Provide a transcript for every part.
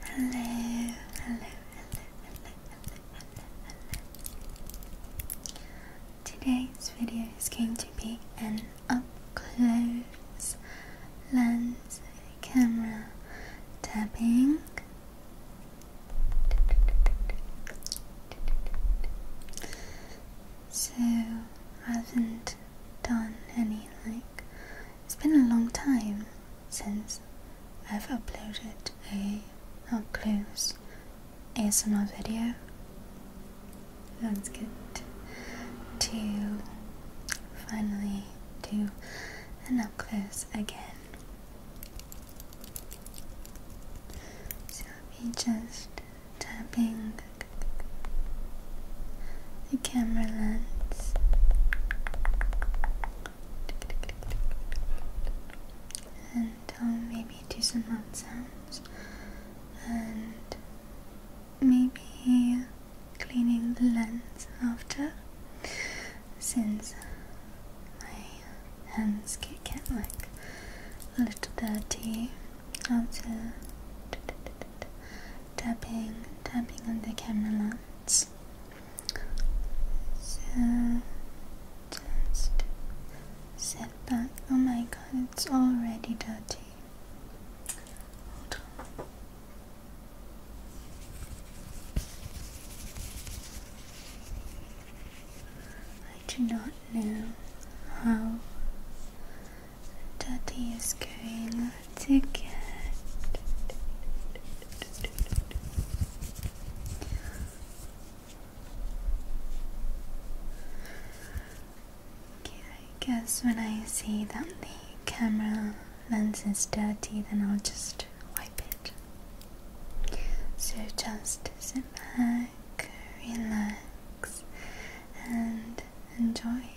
hello, hello, hello, hello, hello, hello, hello. Today's video is going to be an up-close lens camera tapping. So I haven't done any like it's been a long time since I've uploaded a up close ASMR video. Let's get to finally do an up close again. So i just tapping the camera lens. And oh, maybe do some mouth sounds. And maybe cleaning the lens after. Since my hands get, get like a little dirty after tapping tapping on the camera lens so just set back oh my god it's already dirty hold on I do not know how Daddy is going to get Okay, I guess when I see that the camera lens is dirty, then I'll just wipe it. So just sit back, relax, and enjoy.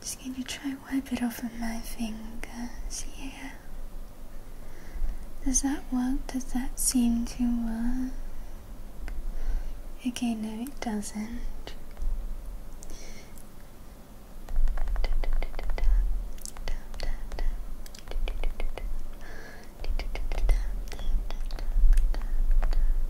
Just going to try wipe it off with my fingers Yeah. Does that work? Does that seem to work? Okay, no, it doesn't.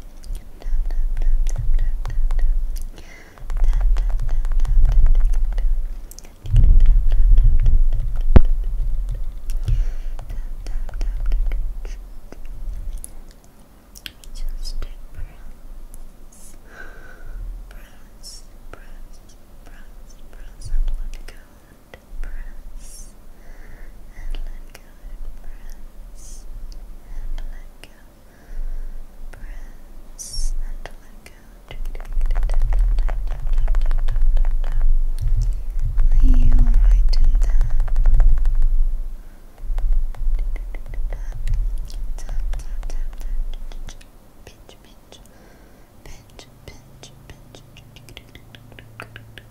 Just press, press, press, press, and let go press and let go, press and let go, press and let go. you alright in that?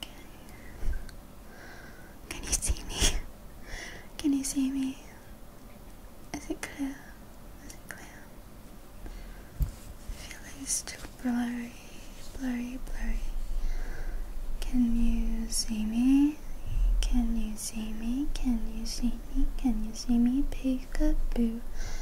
Okay. Can you see me? Can you see me? Is it clear? Is it clear? I too blurry, blurry, blurry. Can you see me? Can you see me? Can you see me? Can you see me? Peekaboo.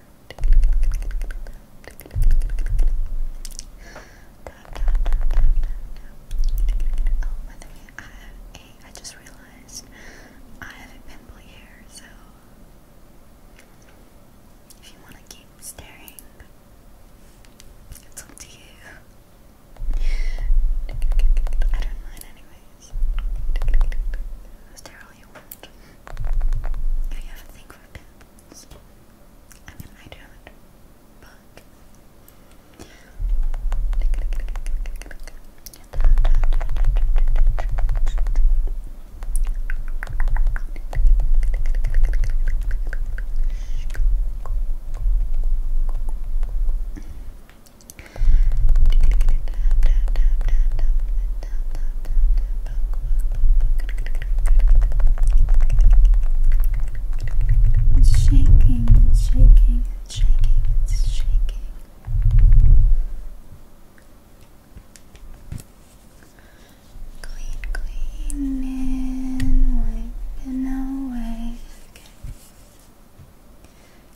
Oh, by the I have a. I just realized I have a pimple here, so if you want to keep staring, it's up to you. I don't mind, anyways. I you have a thing for pins. I mean, I don't, but. It's shaking, it's shaking, it's shaking, it's shaking. Clean, clean, and wiping away.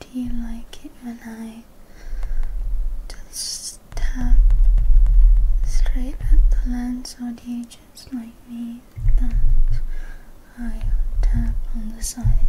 Do you like it when I just tap straight at the lens, or do you just like me that I tap on the sides?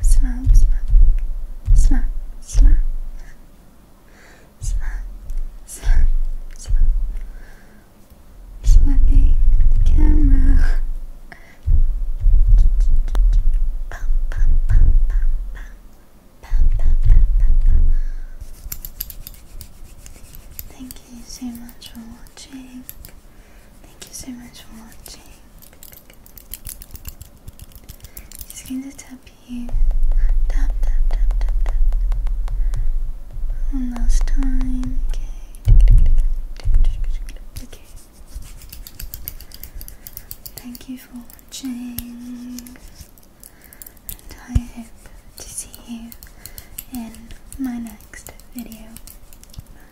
Slap, slap, slap, slap, slap, slap, slap, slapping the camera. Pum, pum, pum, pum, pum. Pum, pum, pum, pum, Thank you so much for watching. Thank you so much for watching. Just going to tap you. Tap, tap, tap, tap, tap. last time. Okay. Okay. Thank you for watching. And I hope to see you in my next video. Bye.